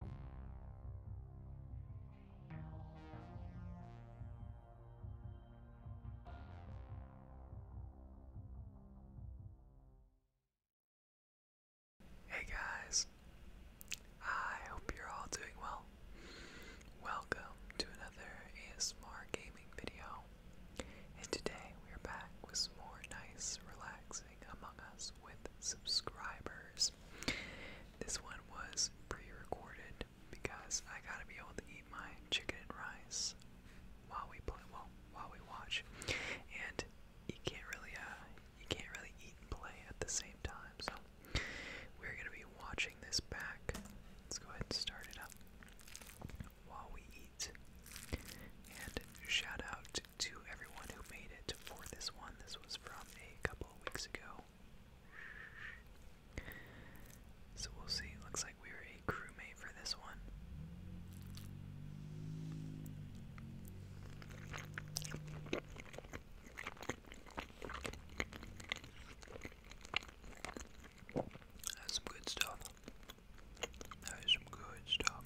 Hey guys, I hope you're all doing well. Welcome to another ASMR gaming video, and today we are back with some more nice, relaxing among Us with subscribers. This one was pre recorded because I gotta be able to eat my chicken and rice while we play while we watch. And you can't really uh, you can't really eat and play at the same time, so we're gonna be watching this back. Let's go ahead and start it up while we eat. And shout out to everyone who made it for this one. This was from a couple weeks ago. So we'll see. Looks like we are a crewmate for this one. That's some good stuff. That is some good stuff.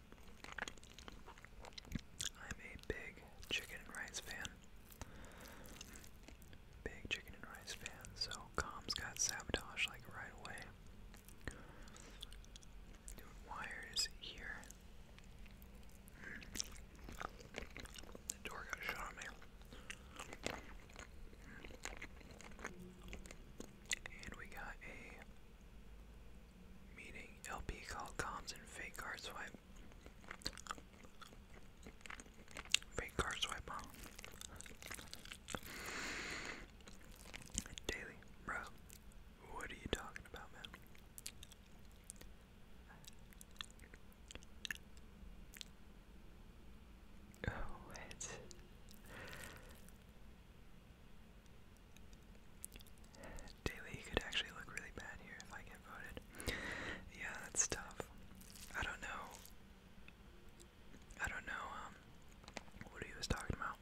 I'm a big chicken and rice fan. Big chicken and rice fan, so comms got sabotaged like right away. wires here. The door got shut on me. And we got a meeting LP called comms and fake card swipe. Fake card swipe on. Daily, bro. What are you talking about, man? Oh, it's Daily could actually look really bad here if I get voted. Yeah, that's tough. I don't know. I don't know um, what he was talking about.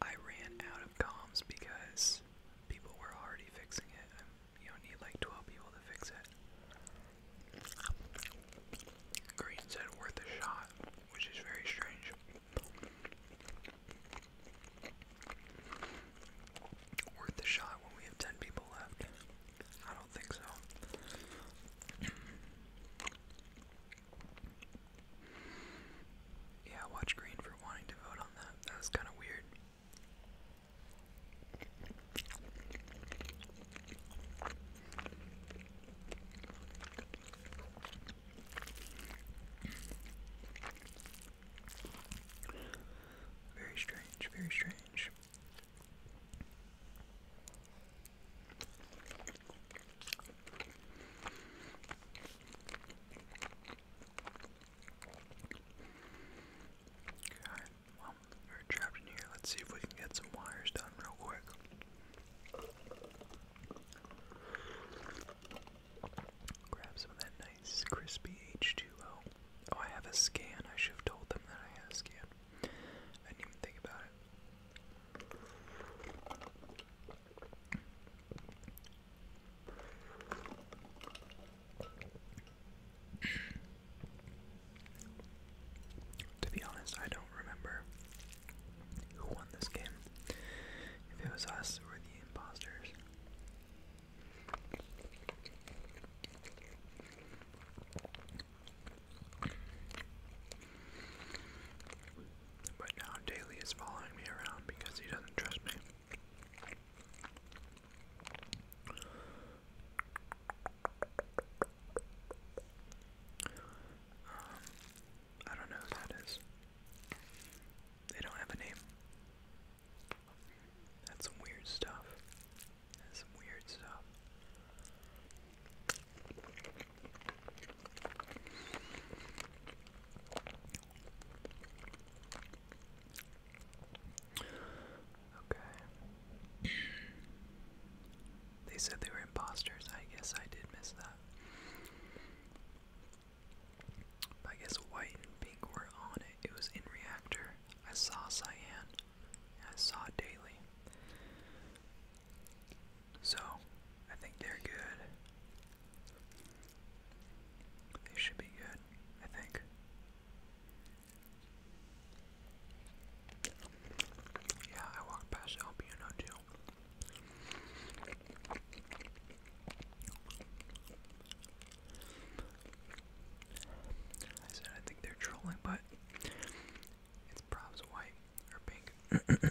I ran out of comms because people were already fixing it. Um, you don't need like 12 people to fix it. Green said worth a shot, which is very strange. Worth a shot when we have 10 people left. I don't think so. yeah, watch Green for wanting to vote on that. That was kind of weird. Very strange, very strange. Okay, well, we're trapped in here. Let's see if we can get some wires done real quick. Grab some of that nice crispy H2O. Oh, I have a scan. I should have told them that I had scan. I didn't even think about it. to be honest, I don't remember who won this game. If it was us, we're the imposters. But now Daly is following me around because he doesn't trust me. Um, I don't know who that is. They don't have a name. That's some weird stuff. That's some weird stuff. Okay. They said they were imposters. I guess I did miss that. I guess white and pink were on it. It was in reactor. I saw cyan. I saw daily. So I think they're good. They should be good, I think. Yeah, I walked past El too. I said I think they're trolling, but it's probs white or pink.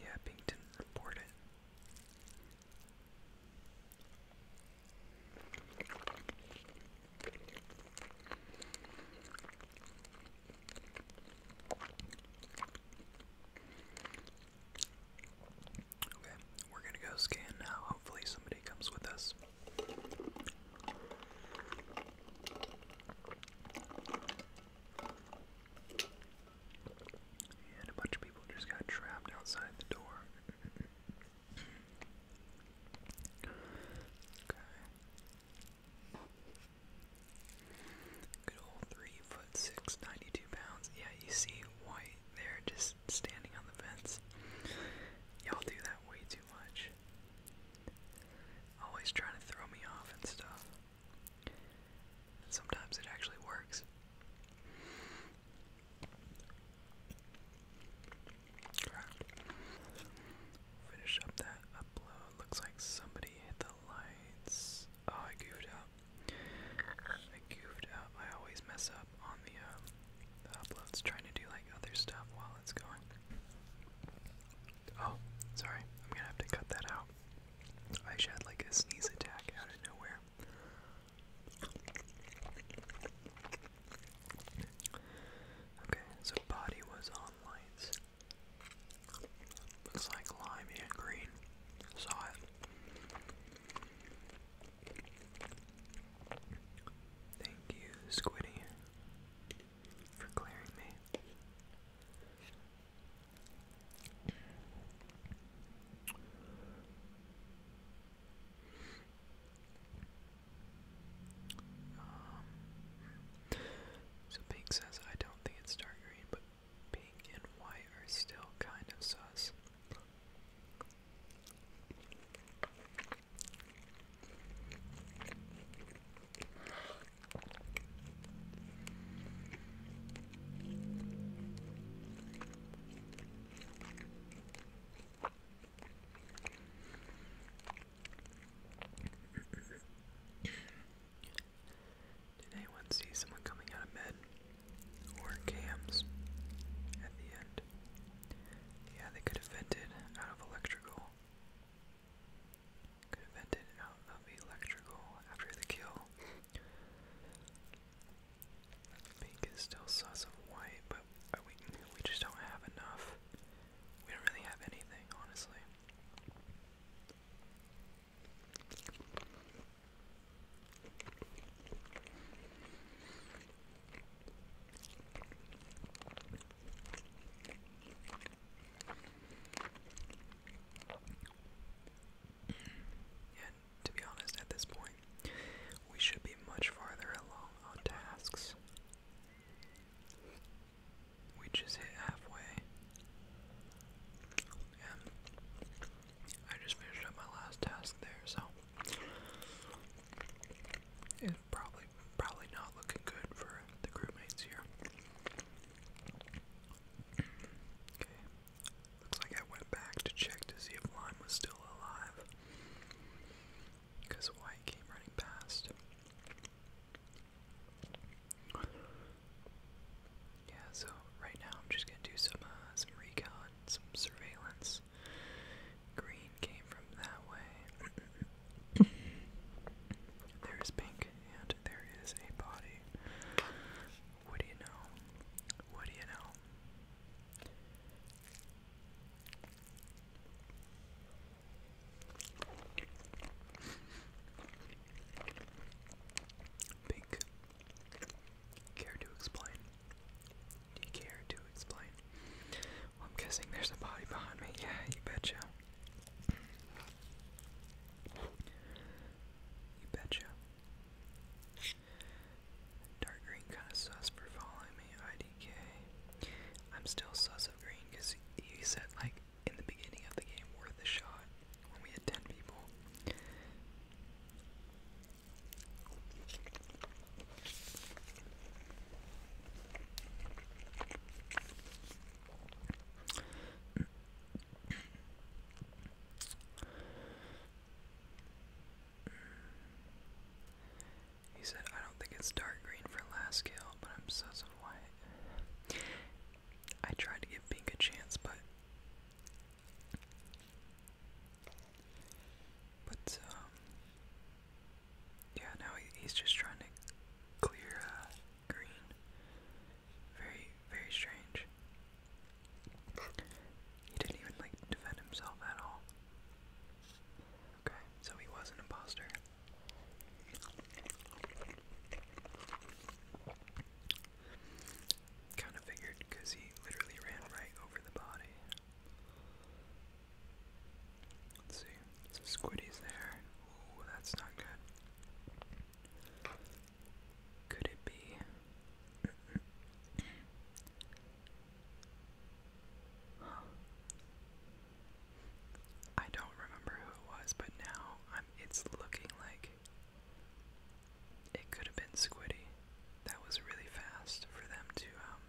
Yeah, Pink didn't report it. Okay, we're gonna go scan now. Hopefully, somebody comes with us. And a bunch of people just got trapped outside the door. Okay. Good old three foot six, 92 pounds. Yeah, you see White there just standing on the fence. Y'all do that way too much. Always trying to throw me off and stuff. And sometimes it actually works. Finish up that upload. Looks like somebody hit the lights. Oh, I goofed up. I goofed up. I always mess up on um, the, uploads trying to do like other stuff while it's going. Oh, sorry. I'm gonna have to cut that out. I had like a sneeze attack out of nowhere. Okay, so body was on lights. Looks like lime and green. Saw it. Thank you, Squiddy, for clearing me. Um, so Pink says, I don't think it's dark green, but pink and white are still kind of sus. Did anyone see someone coming out of med or cams at the end? Yeah, they could have vented out of electrical. Could have vented out of electrical after the kill. Pink is still sus of white, but we we just don't have enough. We don't really have anything, honestly. And to be honest, at this point, we should be much farther along on tasks. We just hit halfway. And I just finished up my last task there, so it's probably probably not looking good for the crewmates here. Okay. Looks like I went back to check to see if Lime was still alive because White came running past. Yeah, so right now I'm just gonna do some uh, some recon, some surveillance. Green came from that way. there is pink, and there is a body. What do you know? What do you know? Pink. Care to explain? care to explain? I'm guessing there's a body behind me. Yeah, you betcha. You betcha. Dark green kind of sus for following me, IDK. I'm still sus of green because you said, like, in the beginning of the game, worth a shot when we had 10 people. He said, I don't think it's dark green for last kill, but I'm so so white. I tried to give pink a chance, but but um yeah, now he's just trying to clear uh, green. Very very strange. He didn't even like defend himself at all. Okay, so he was an imposter. Kind of figured because he literally ran right over the body. Let's see. Squiddy's there. Ooh, that's not good. Could it be? Huh. I don't remember who it was, but now I'm it's looking like it could have been Squiddy. That was really fast for them to um,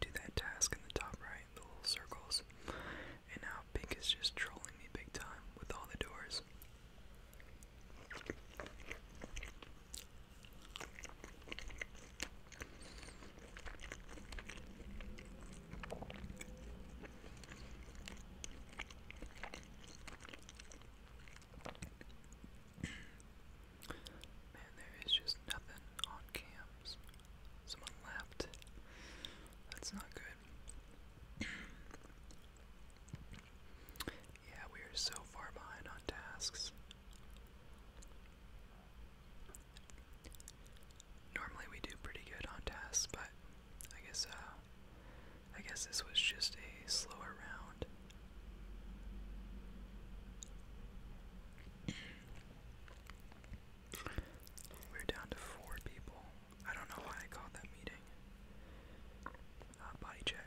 do that task in the top right, the little circles. And now Pink is just trolling me big time with all the doors. Man, there is just nothing on cams. Someone left. That's not good. yeah, we are so far behind on tasks. Normally we do pretty good on tasks, but I guess uh, I guess this was just a slower round. We're down to four people. I don't know why I called that meeting. Uh, body check.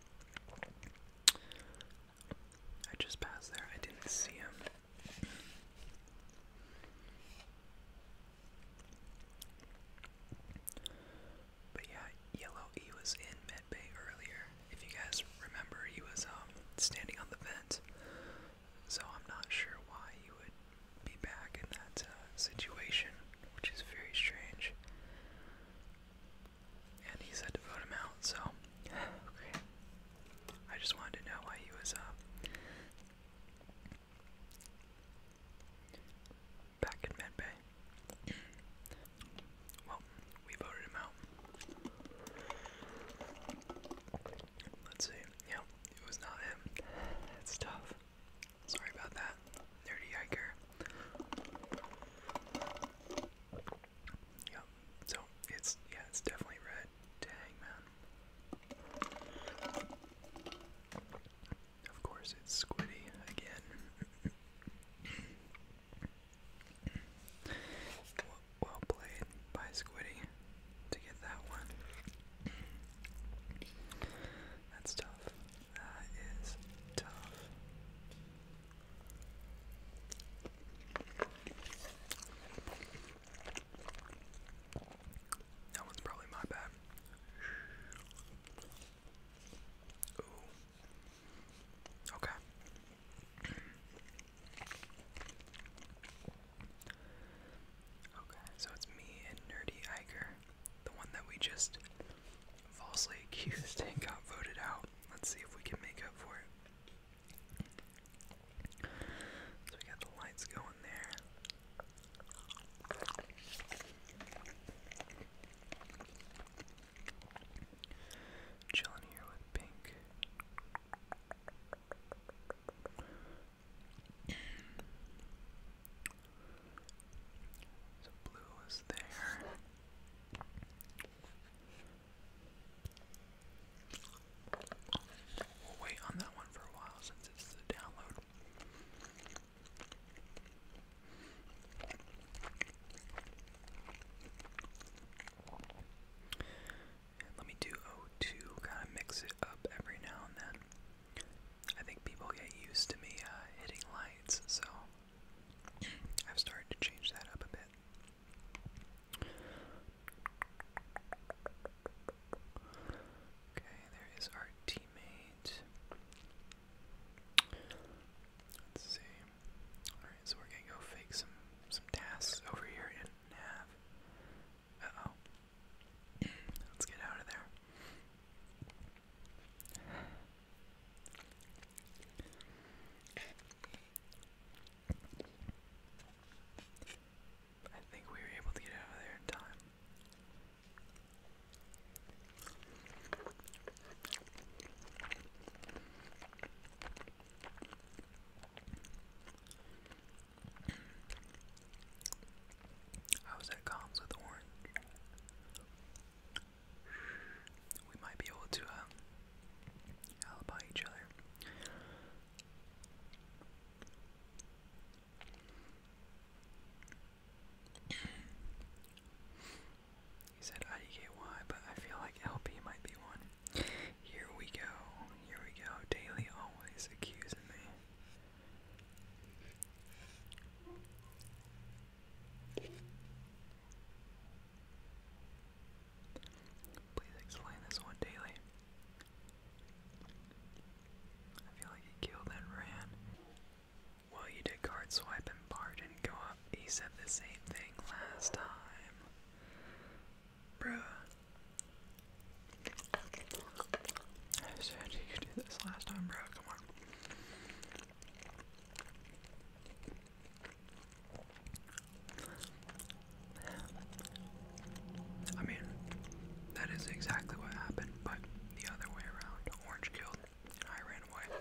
I just passed there. I didn't see him. But yeah, Yellow E was in Bay earlier. If you guys remember, he was um standing on the vent. So I'm not sure why he would be back in that uh, situation, which is very strange and he said to vote him out. So, I just wanted to know why he was uh, back in Medbay. well, we voted him out. Let's see. Yeah, it was not him. It's tough. Sorry about that, nerdy hiker. Yep. So it's yeah, it's definitely red to man. Of course, it's Squiddy again. well played by Squiddy to get that one. That's tough. That is tough. That was probably my bad. Okay. Okay, so it's me and Nerdy Iger, the one that we just falsely accused and got voted out. Let's see if we can make up for it. So we got the lights going there. Chilling here with pink. So blue was there. We'll wait on that one for a while since it's the download. let me do 0 kind of mix it up every now and then. I think people get used to me uh, hitting lights, so I've started to change that up a bit. Okay, there is our teammate. Let's see. All right, so we're gonna go fake some some tasks over here in nav. Uh oh. Let's get out of there. I think we were able to get out of there in time. I was at comms with Orange we might be able to um, each other. he said IDKY, but I feel like LP might be one. Here we go, here we go. Daily always accusing me. Please explain this one, Daily. I feel like he killed and ran. Well, you did card swipe and bar go up. He said the same thing last time. Bruh. I said you do this last time, bro. Come on. I mean, that is exactly what happened, but the other way around. Orange killed, and I ran away.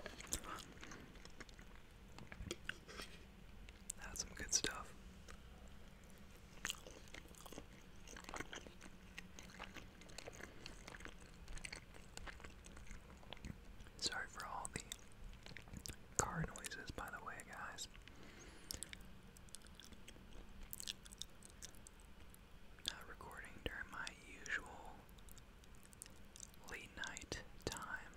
That's some good stuff. Sorry for all the car noises, by the way, guys. Not recording during my usual late night time.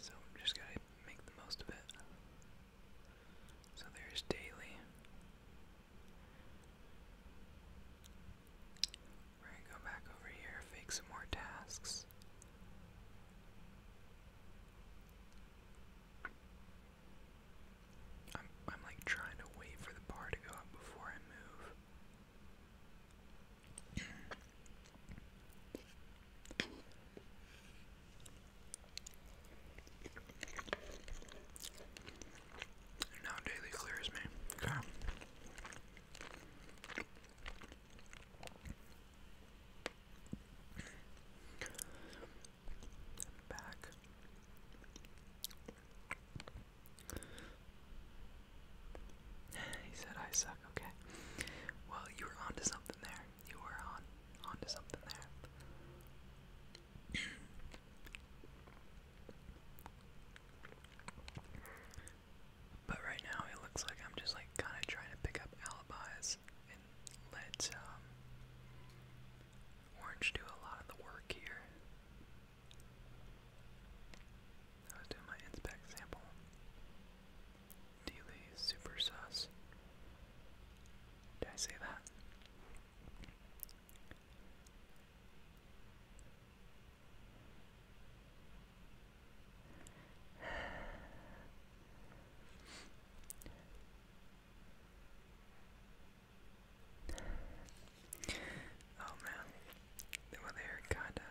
So I'm just gonna make the most of it. So there's daily. We're gonna go back over here, fake some more tasks. I'm I'm like trying to wait for the bar to go up before I move. Now daily clears me. Okay back. He said I suck, okay. Well, you were onto something there. You were on onto something there. But right now it looks like I'm just like kind of trying to pick up alibis and let um, Orange do a lot of the work here. I was doing my inspect sample. Dealey super sus. Did I say that? Oh man, well they're kinda,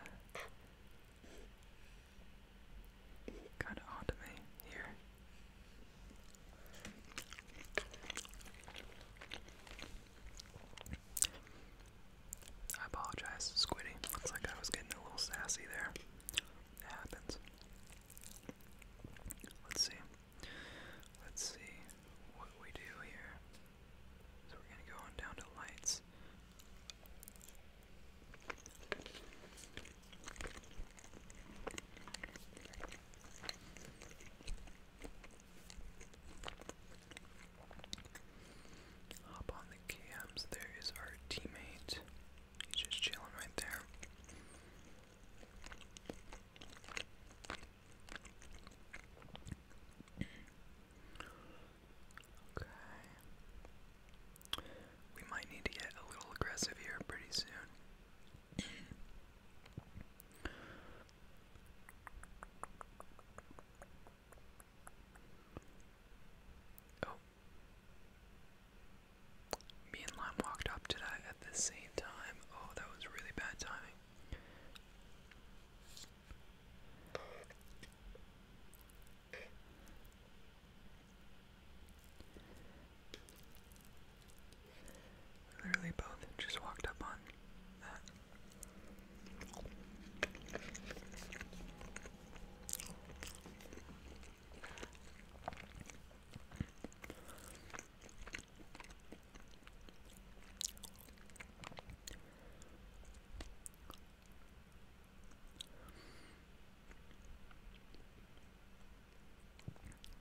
kinda odd to me here. I apologize, Squiddy. Looks like I was getting a little sassy there. It happens. Let's see. Let's see what we do here. So we're gonna go on down to lights. Hop on the cams. There is our teammate. He's just chilling right there. Okay. We might need to get a little aggressive here pretty soon. Oh. Me and Lime walked up to that at the same time. Oh, that was really bad timing. Literally both just walked up on that.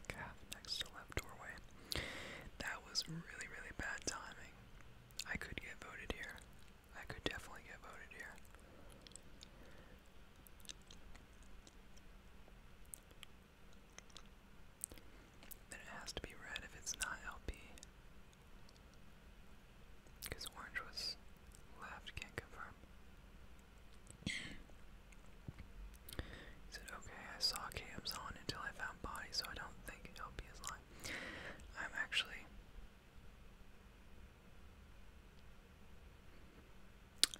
Calf next to left doorway. That was really, really bad timing. I could get voted here. I could definitely get voted here. Then it has to be red if it's not LP. Because orange was left, can't confirm. He said, okay, I saw cams on until I found body, so I don't think LP is lying. I'm actually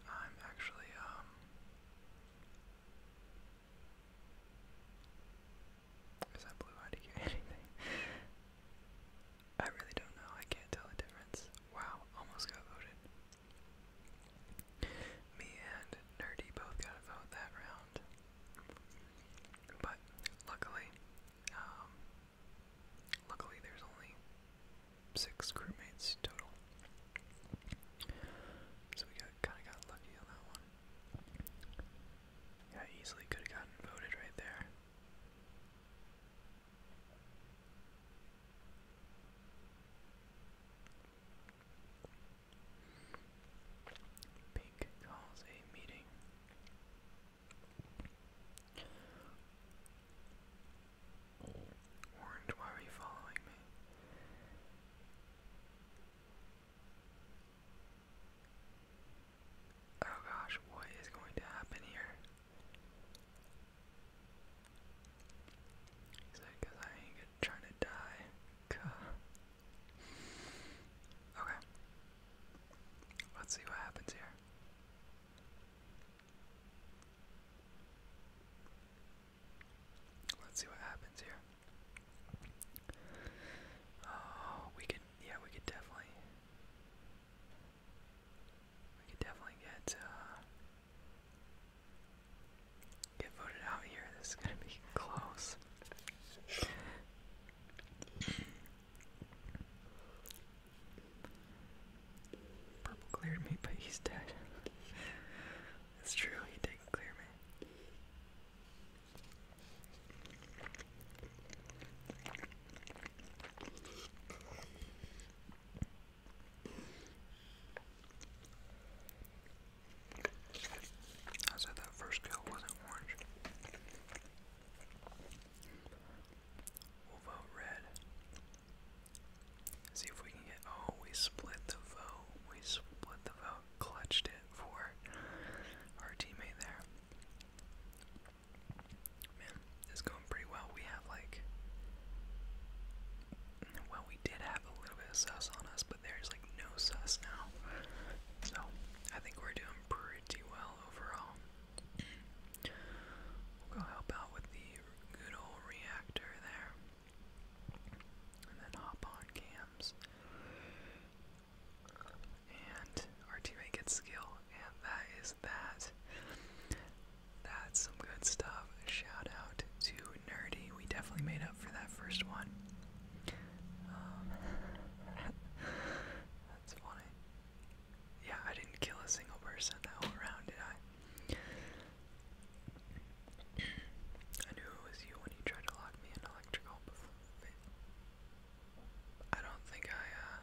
I'm actually um is that blue IDK anything? I really don't know. I can't tell the difference. Wow, almost got voted. Me and Nerdy both got a vote that round. But luckily, um, luckily there's only six crewmates total. So we kind of got lucky on that one. Yeah, easily could have gotten voted right there. Pink calls a meeting. Orange, why are you following me? Oh gosh, what is going to happen here? He said, because I ain't trying to die. Cuh. Okay. Let's see what happens here. Let's see what happens here. Oh, we could, yeah, we could definitely, we could definitely get, uh, get voted out here. This is gonna be close. Purple cleared me, but he's dead. That's true, he did clear me. I said that first kill wasn't orange. We'll vote red. See if we can get. Oh, we split the vote. We split the vote. Clutched it for our teammate there. Man, it's going pretty well. We have like. Well, we did have a little bit of sus on us, but there's no sus now. So I think we're doing pretty well overall. We'll go help out with the good old reactor there. And then hop on cams. And our teammate gets skill. And that is that. That's some good stuff. Shout out to Nerdy. We definitely made up for that first one that's funny. Yeah, I didn't kill a single person that whole round, did I? I knew it was you when you tried to lock me in electrical I don't think I, uh,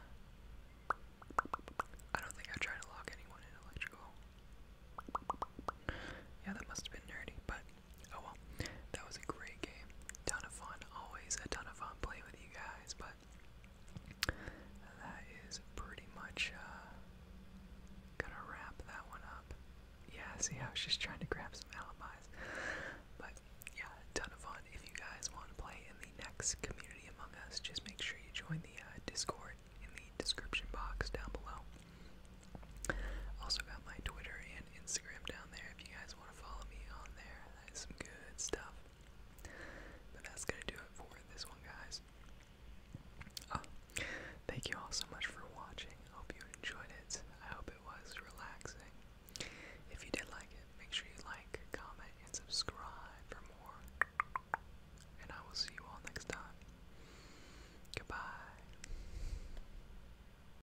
I don't think I tried to lock anyone in electrical. Yeah, that must have been nerdy, but oh well, that was a great game. Ton of fun, always a ton of fun playing with you guys, but that is pretty much uh, gonna wrap that one up. Yeah, see, I was just trying to grab some alibis. But yeah, ton of fun. If you guys want to play in the next community among us, just make sure you join the uh, Discord in the description box down below. Also got my Twitter and. Instagram down there if you guys want to follow me on there. That is some good stuff. But that's gonna do it for this one, guys. Ah, thank you all so much for watching. hope you enjoyed it. I hope it was relaxing. If you did like it, make sure you like, comment, and subscribe for more. And I will see you all next time. Goodbye.